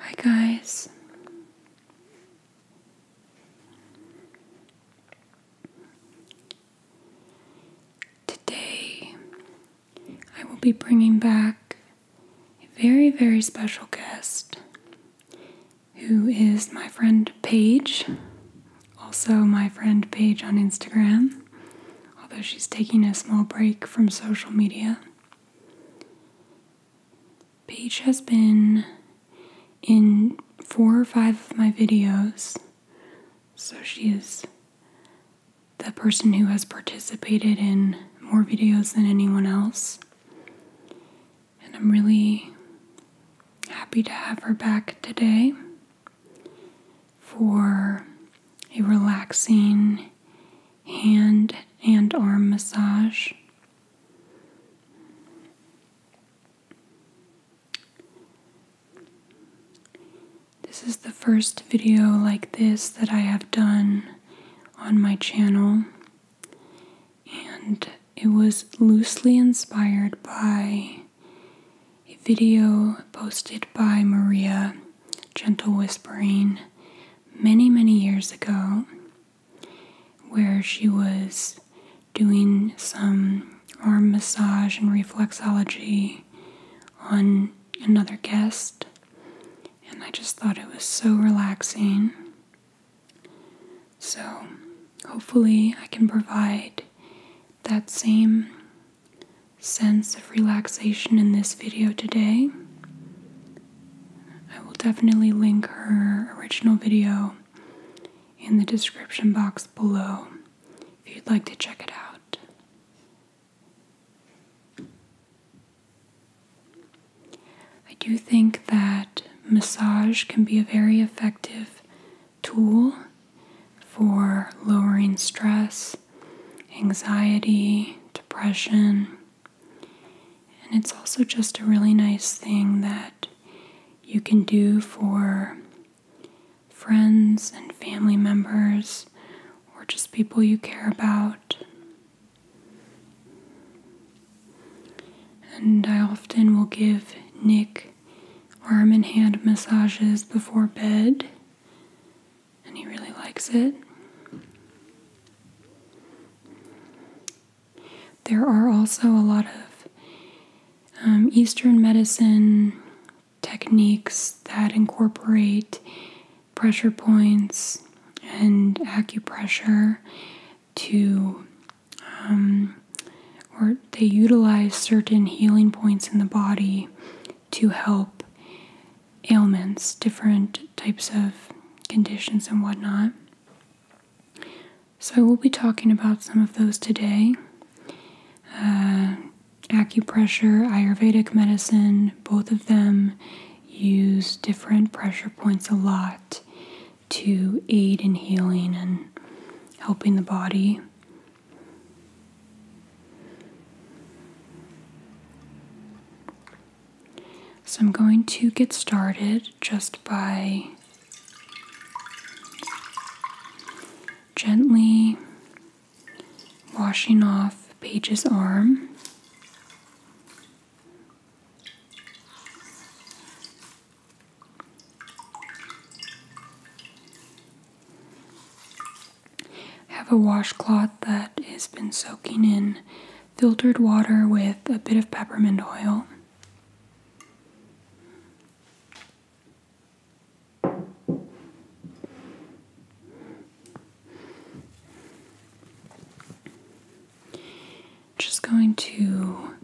Hi, guys. Today I will be bringing back a very, very special guest who is my friend Paige, also my friend Paige on Instagram, although she's taking a small break from social media. Paige has been in four or five of my videos, so she is the person who has participated in more videos than anyone else and I'm really happy to have her back today for a relaxing hand and arm massage. This is the first video like this that I have done on my channel, and it was loosely inspired by a video posted by Maria Gentle Whispering many, many years ago, where she was doing some arm massage and reflexology on another guest. And I just thought it was so relaxing. So, hopefully, I can provide that same sense of relaxation in this video today. I will definitely link her original video in the description box below if you'd like to check it out. I do think that massage can be a very effective tool for lowering stress, anxiety, depression. And it's also just a really nice thing that you can do for friends and family members or just people you care about. And I often will give Nick arm and hand massages before bed, and he really likes it. There are also a lot of um, Eastern medicine techniques that incorporate pressure points and acupressure to, um, or they utilize certain healing points in the body to help ailments, different types of conditions, and whatnot. So, I will be talking about some of those today uh, acupressure, Ayurvedic medicine, both of them use different pressure points a lot to aid in healing and helping the body. So I'm going to get started just by gently washing off Paige's arm. Have a washcloth that has been soaking in filtered water with a bit of peppermint oil. Just going to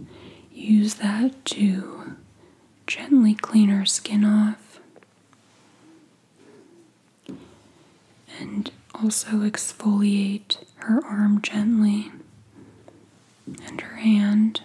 use that to gently clean her skin off and also exfoliate her arm gently and her hand.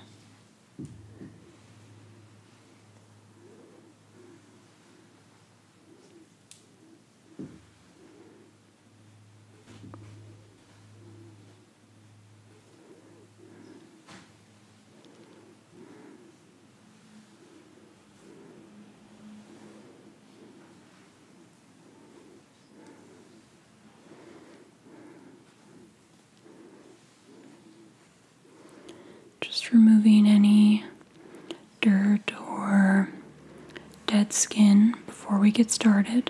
Just removing any dirt or dead skin before we get started.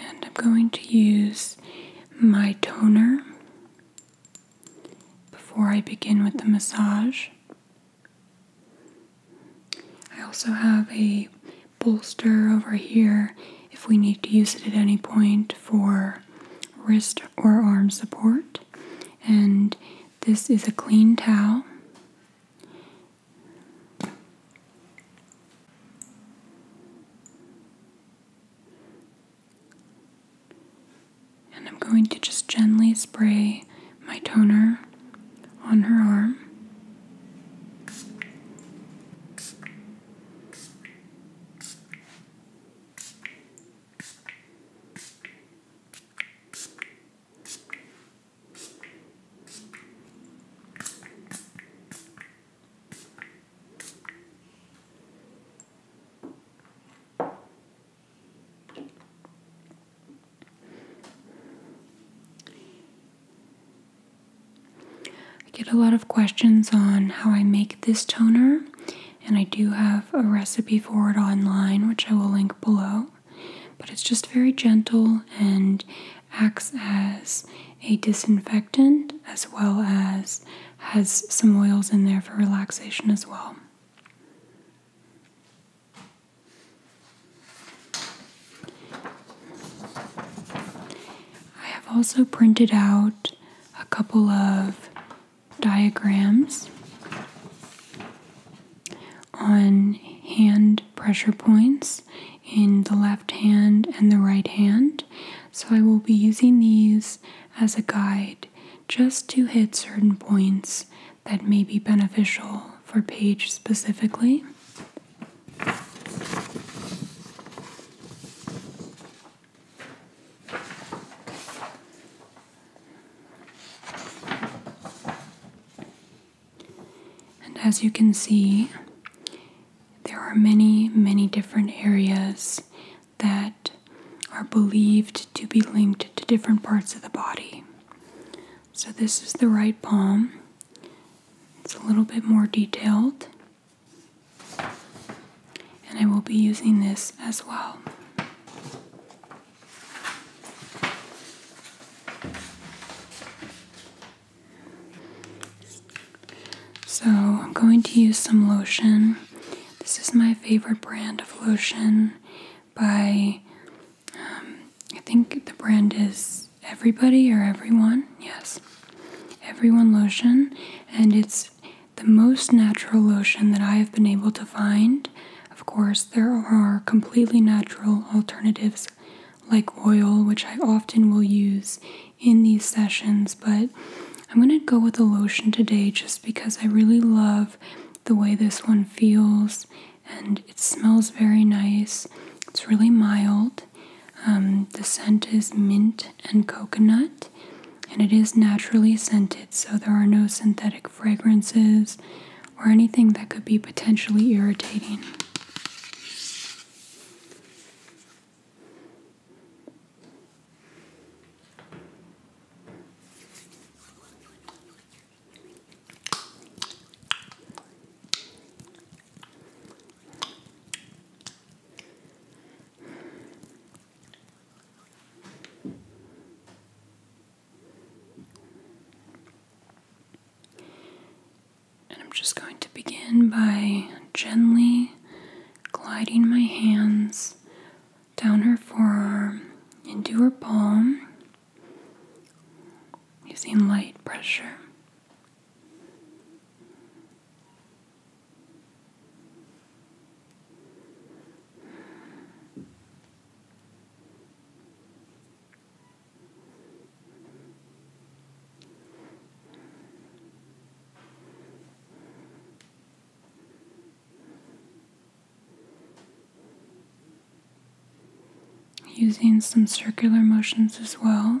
And I'm going to use my toner before I begin with the massage. I also have a bolster over here if we need to use it at any point for wrist or arm support. And this is a clean towel. And I'm going to just gently spray my toner on her arm. I get a lot of questions on how I make this toner, and I do have a recipe for it online, which I will link below. But it's just very gentle and acts as a disinfectant as well as has some oils in there for relaxation as well. I have also printed out a couple of diagrams on hand pressure points in the left hand and the right hand. So I will be using these as a guide just to hit certain points that may be beneficial for Paige specifically. And as you can see, there are many, many different areas that are believed to be linked to different parts of the body. So, this is the right palm, it's a little bit more detailed, and I will be using this as well. So, I'm going to use some lotion. This is my favorite brand of lotion by, um, I think the brand is Everybody or Everyone. Yes, Everyone Lotion. And it's the most natural lotion that I have been able to find. Of course, there are completely natural alternatives like oil, which I often will use in these sessions, but I'm going to go with a lotion today just because I really love the way this one feels and it smells very nice. It's really mild. Um, the scent is mint and coconut, and it is naturally scented, so there are no synthetic fragrances or anything that could be potentially irritating. And I'm just going to begin by gently gliding my hands down her forearm into her palm using light pressure. Using some circular motions as well.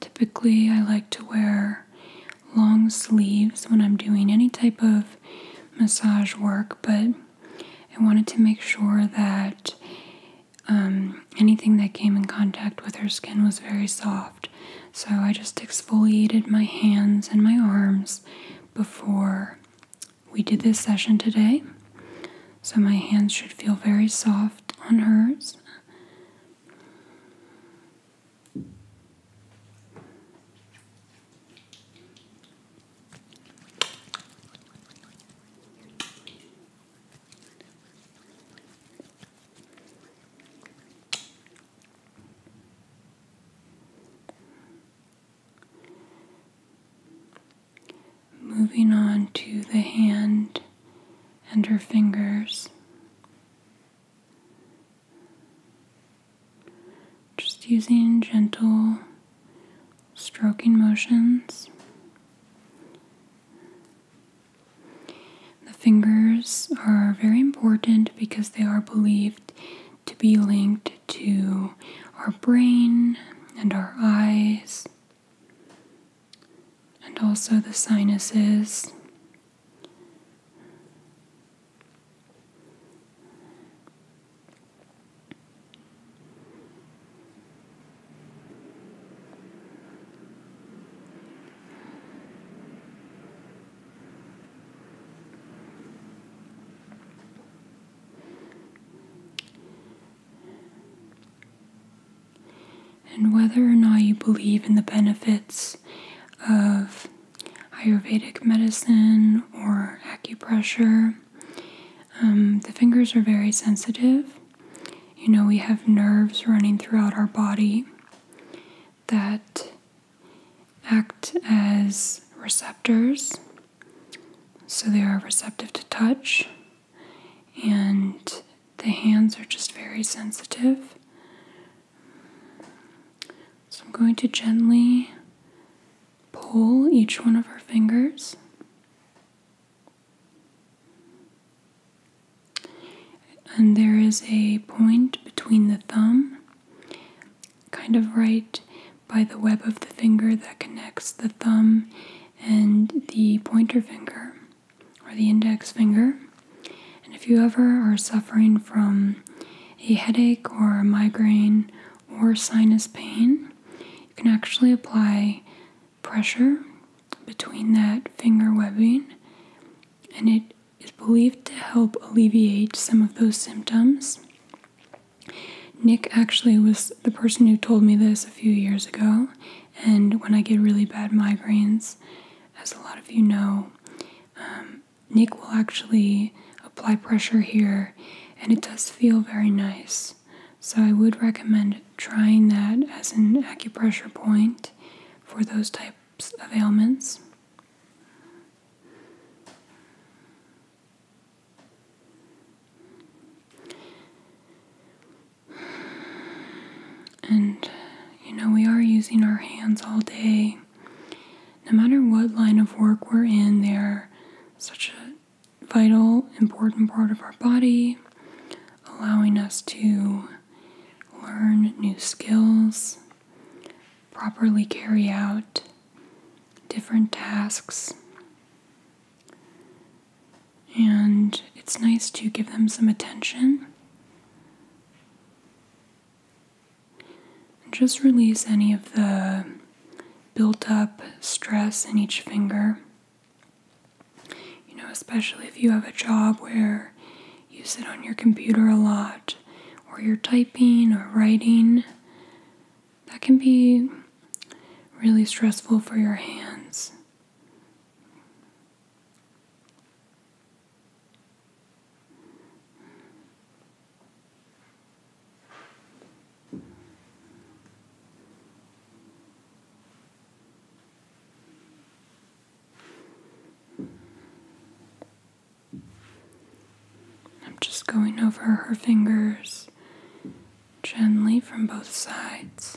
Typically, I like to wear long sleeves when I'm doing any type of massage work, but I wanted to make sure that um, anything that came in contact with her skin was very soft. So I just exfoliated my hands and my arms before we did this session today. So my hands should feel very soft on hers. Moving on to the hand and her fingers. Just using gentle stroking motions. The fingers are very important because they are believed to be linked to our brain and our eyes and also the sinuses and whether or not you believe in the benefits of Ayurvedic medicine or acupressure. Um, the fingers are very sensitive. You know, we have nerves running throughout our body that act as receptors. So they are receptive to touch and the hands are just very sensitive. So I'm going to gently pull each one of her fingers. And there is a point between the thumb, kind of right by the web of the finger that connects the thumb and the pointer finger or the index finger. And if you ever are suffering from a headache or a migraine or sinus pain, you can actually apply pressure between that finger webbing, and it is believed to help alleviate some of those symptoms. Nick actually was the person who told me this a few years ago, and when I get really bad migraines, as a lot of you know, um, Nick will actually apply pressure here and it does feel very nice. So I would recommend trying that as an acupressure point for those types of ailments. And you know, we are using our hands all day. No matter what line of work we're in, they are such a vital, important part of our body, allowing us to learn new skills, properly carry out different tasks. And it's nice to give them some attention just release any of the built up stress in each finger. You know, especially if you have a job where you sit on your computer a lot or you're typing or writing, that can be really stressful for your hands. I'm just going over her fingers gently from both sides.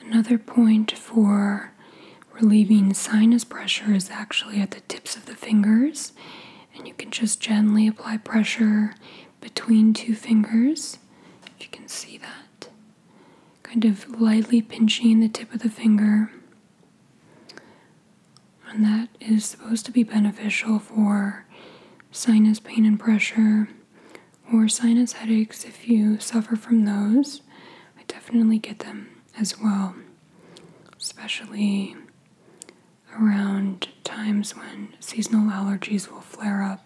Another point for relieving sinus pressure is actually at the tips of the fingers, and you can just gently apply pressure between two fingers. If you can see that, kind of lightly pinching the tip of the finger and that is supposed to be beneficial for sinus pain and pressure or sinus headaches if you suffer from those. I definitely get them as well, especially around times when seasonal allergies will flare up.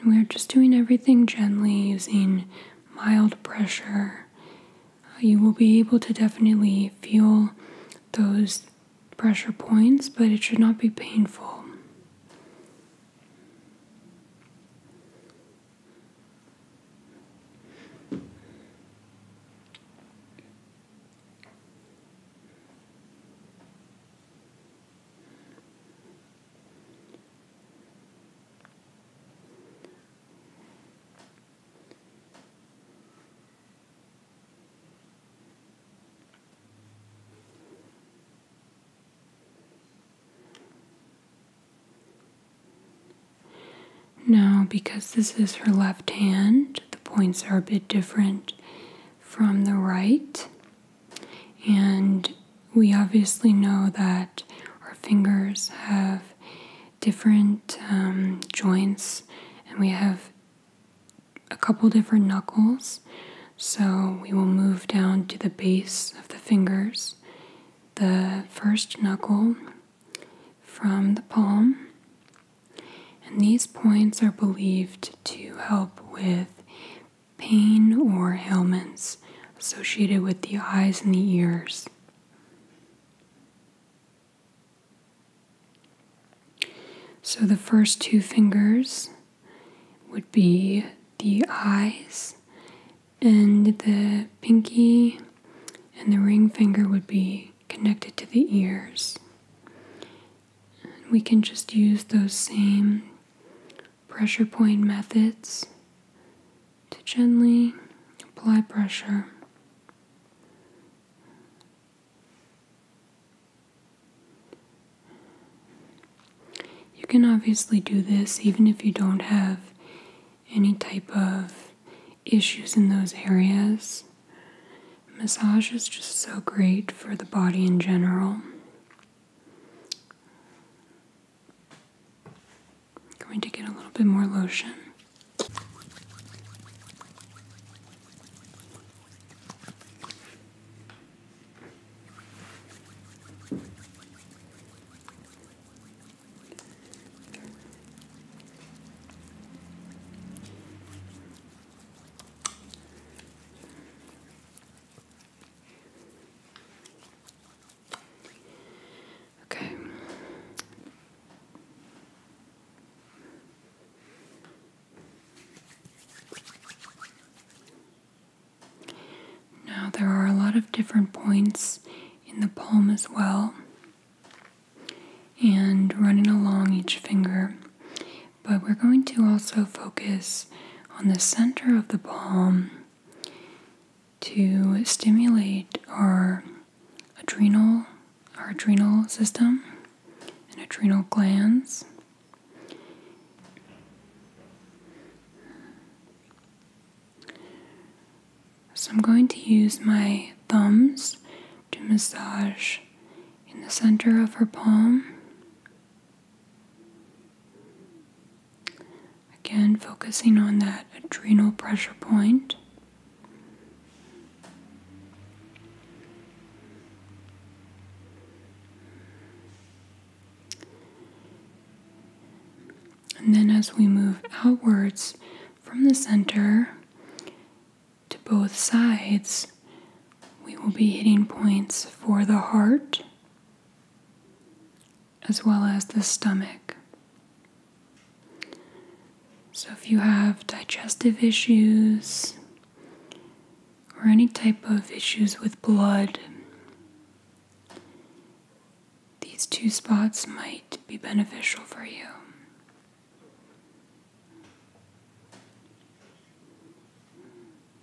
And we're just doing everything gently using mild pressure. Uh, you will be able to definitely feel those pressure points, but it should not be painful. Now, because this is her left hand, the points are a bit different from the right. And we obviously know that our fingers have different um, joints and we have a couple different knuckles. So we will move down to the base of the fingers, the first knuckle from the palm. And these points are believed to help with pain or ailments associated with the eyes and the ears. So the first two fingers would be the eyes, and the pinky and the ring finger would be connected to the ears. And we can just use those same pressure point methods to gently apply pressure. You can obviously do this even if you don't have any type of issues in those areas. Massage is just so great for the body in general going to get a little bit more lotion. Okay. Now, there are a lot of different points in the palm as well, and running along each finger, but we're going to also focus on the center of the palm to stimulate our adrenal our adrenal system and adrenal glands so I'm going to use my thumbs to massage in the center of her palm Again, focusing on that adrenal pressure And then as we move outwards from the center to both sides, we will be hitting points for the heart, as well as the stomach. So, if you have digestive issues or any type of issues with blood, these two spots might be beneficial for you.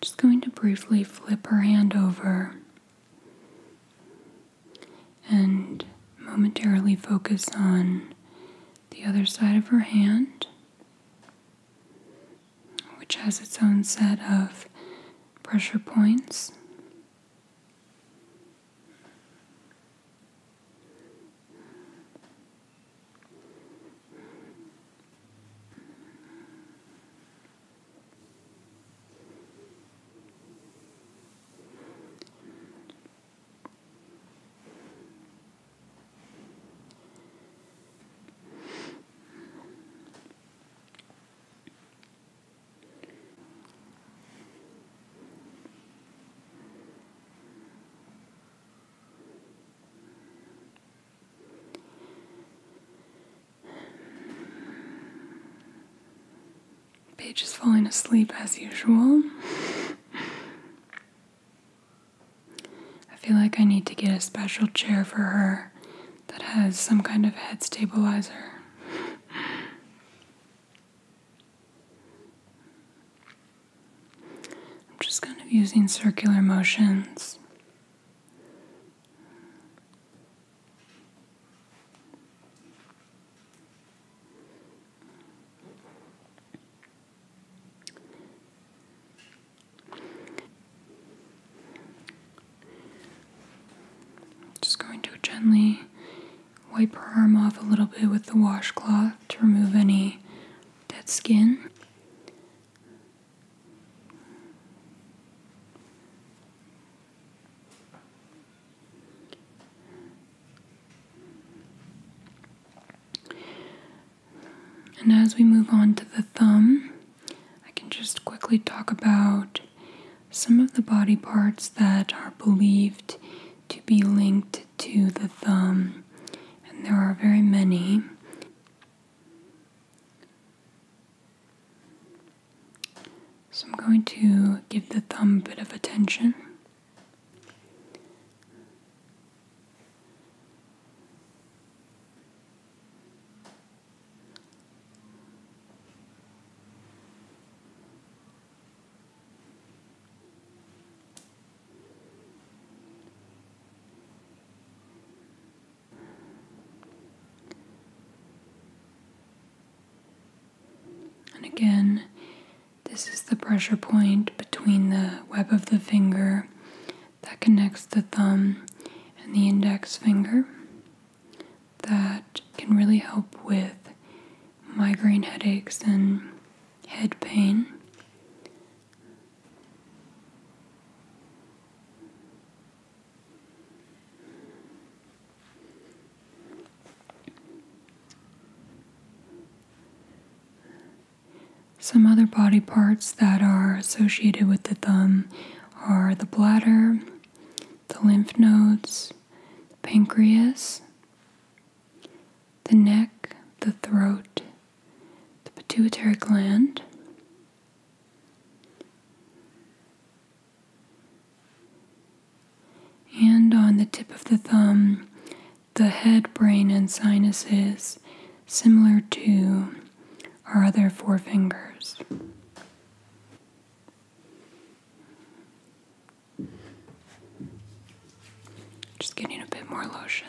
Just going to briefly flip her hand over and momentarily focus on the other side of her hand which has its own set of pressure points. Page is falling asleep as usual. I feel like I need to get a special chair for her that has some kind of head stabilizer. I'm just kind of using circular motions. Just going to gently wipe her arm off a little bit with the washcloth to remove any dead skin. And as we move on to the thumb, I can just quickly talk about some of the body parts that are believed to be linked to the thumb, and there are very many. So I'm going to give the thumb a bit of attention. And again, this is the pressure point between the web of the finger that connects the thumb and the index finger that can really help with migraine headaches and head pain. Some other body parts that are associated with the thumb are the bladder, the lymph nodes, the pancreas, the neck, the throat, the pituitary gland. And on the tip of the thumb, the head, brain, and sinuses, similar to our other four fingers. Just getting a bit more lotion.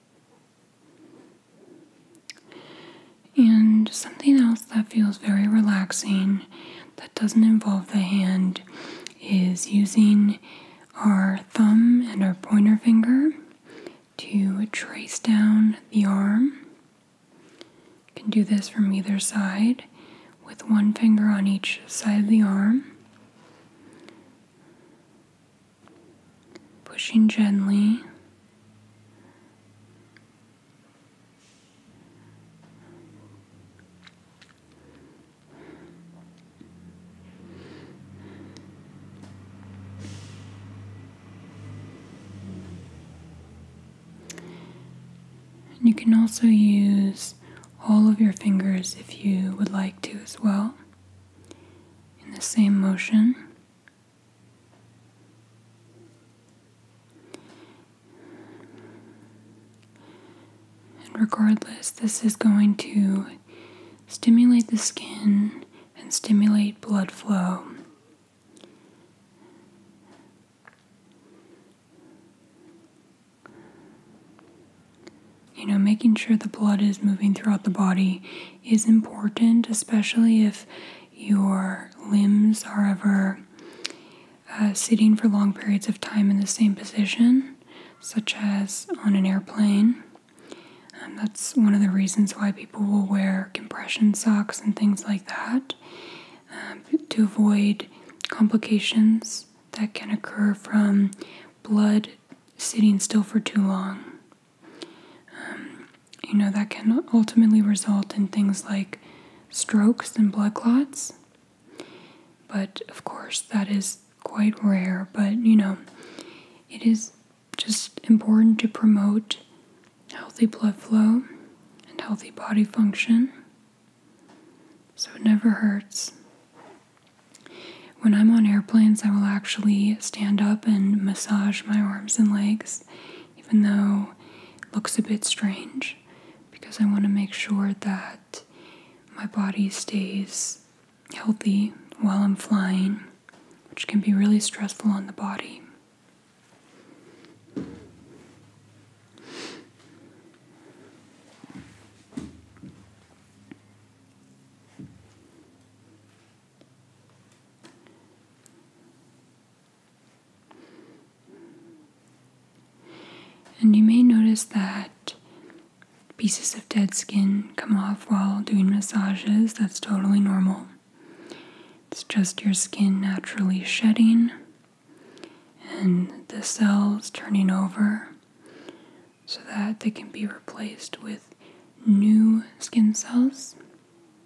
And something else that feels very relaxing that doesn't involve the hand is using our thumb and our pointer finger to trace down the arm. can do this from either side with one finger on each side of the arm. Pushing gently you can also use all of your fingers if you would like to as well in the same motion. And regardless, this is going to stimulate the skin and stimulate blood flow. You know, making sure the blood is moving throughout the body is important, especially if your limbs are ever uh, sitting for long periods of time in the same position, such as on an airplane. that's one of the reasons why people will wear compression socks and things like that um, to avoid complications that can occur from blood sitting still for too long. Um, you know, that can ultimately result in things like strokes and blood clots. But of course, that is quite rare. But you know, it is just important to promote healthy blood flow and healthy body function. So it never hurts. When I'm on airplanes, I will actually stand up and massage my arms and legs even though it looks a bit strange, because I want to make sure that my body stays healthy while I'm flying, which can be really stressful on the body. And you may notice that pieces of dead skin come off while doing massages. That's totally normal. It's just your skin naturally shedding and the cells turning over so that they can be replaced with new skin cells.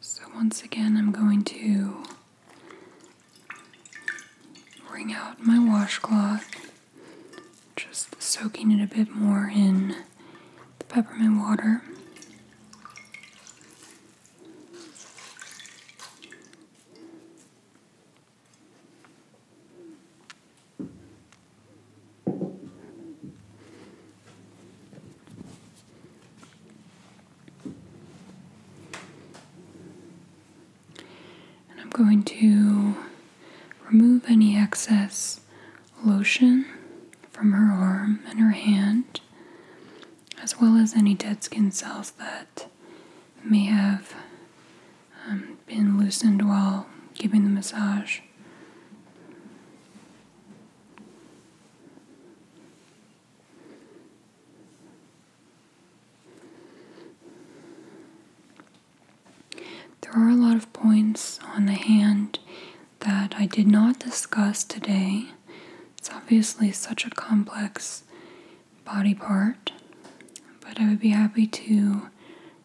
So, once again, I'm going to wring out my washcloth, just soaking it a bit more in the peppermint water. And I'm going to remove any excess lotion from her arm and her hand, as well as any dead skin cells that may have um, been loosened while giving the massage. There are a lot of points on the hand that I did not discuss today. It's obviously such a complex body part, but I would be happy to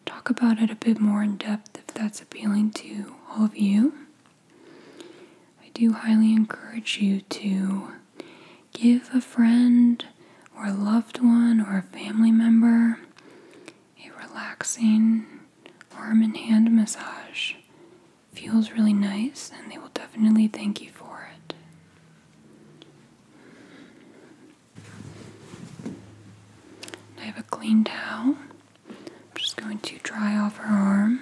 talk about it a bit more in depth if that's appealing to all of you. I do highly encourage you to give a friend or a loved one or a family member a relaxing arm and hand massage. Feels really nice, and they will definitely thank you for it. I have a clean towel. I'm just going to dry off her arm.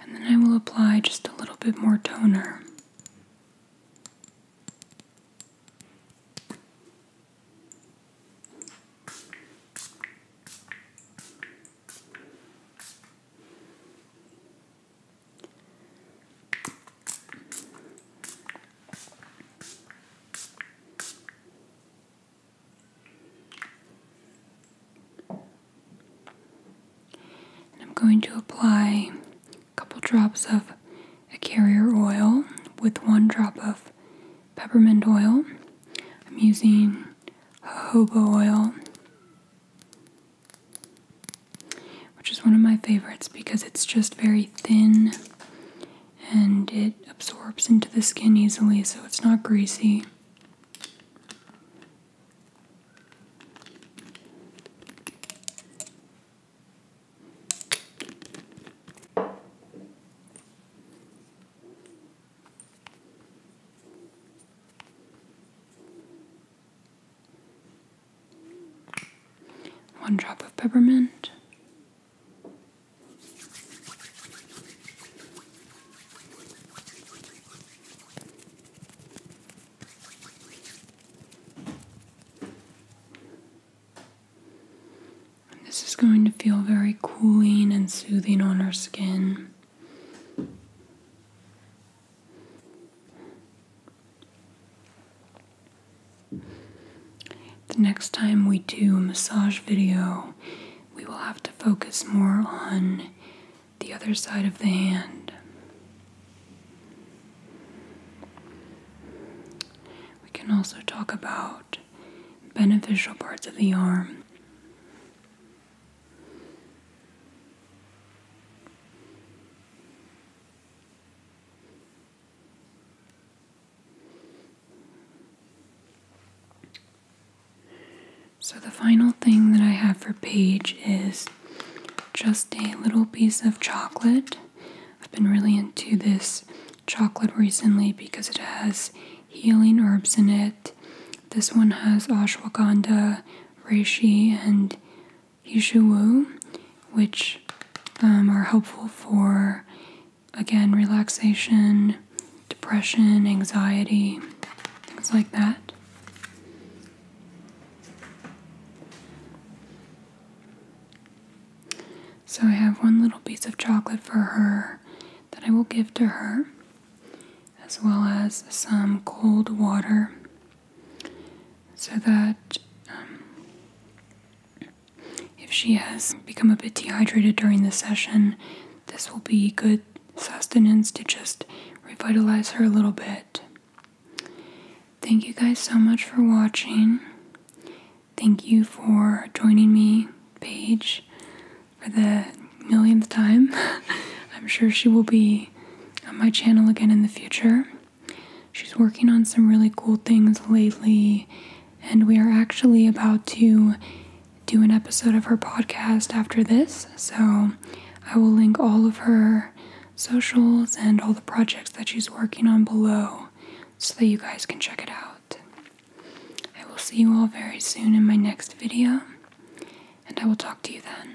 And then I will apply just a little bit more toner. I'm going to apply a couple drops of a carrier oil with one drop of peppermint oil. I'm using jojoba oil, which is one of my favorites because it's just very thin and it absorbs into the skin easily, so it's not greasy. One drop of peppermint, this is going to feel very cooling and soothing on our skin. The next time we do a massage video, we will have to focus more on the other side of the hand. We can also talk about beneficial parts of the arm. So, the final thing that I have for Paige is just a little piece of chocolate. I've been really into this chocolate recently because it has healing herbs in it. This one has ashwagandha, reishi, and hishuwu, which um, are helpful for again, relaxation, depression, anxiety, things like that. So I have one little piece of chocolate for her that I will give to her, as well as some cold water, so that um, if she has become a bit dehydrated during the session, this will be good sustenance to just revitalize her a little bit. Thank you guys so much for watching. Thank you for joining me, Paige, for the millionth time. I'm sure she will be on my channel again in the future. She's working on some really cool things lately, and we are actually about to do an episode of her podcast after this. So I will link all of her socials and all the projects that she's working on below so that you guys can check it out. I will see you all very soon in my next video, and I will talk to you then.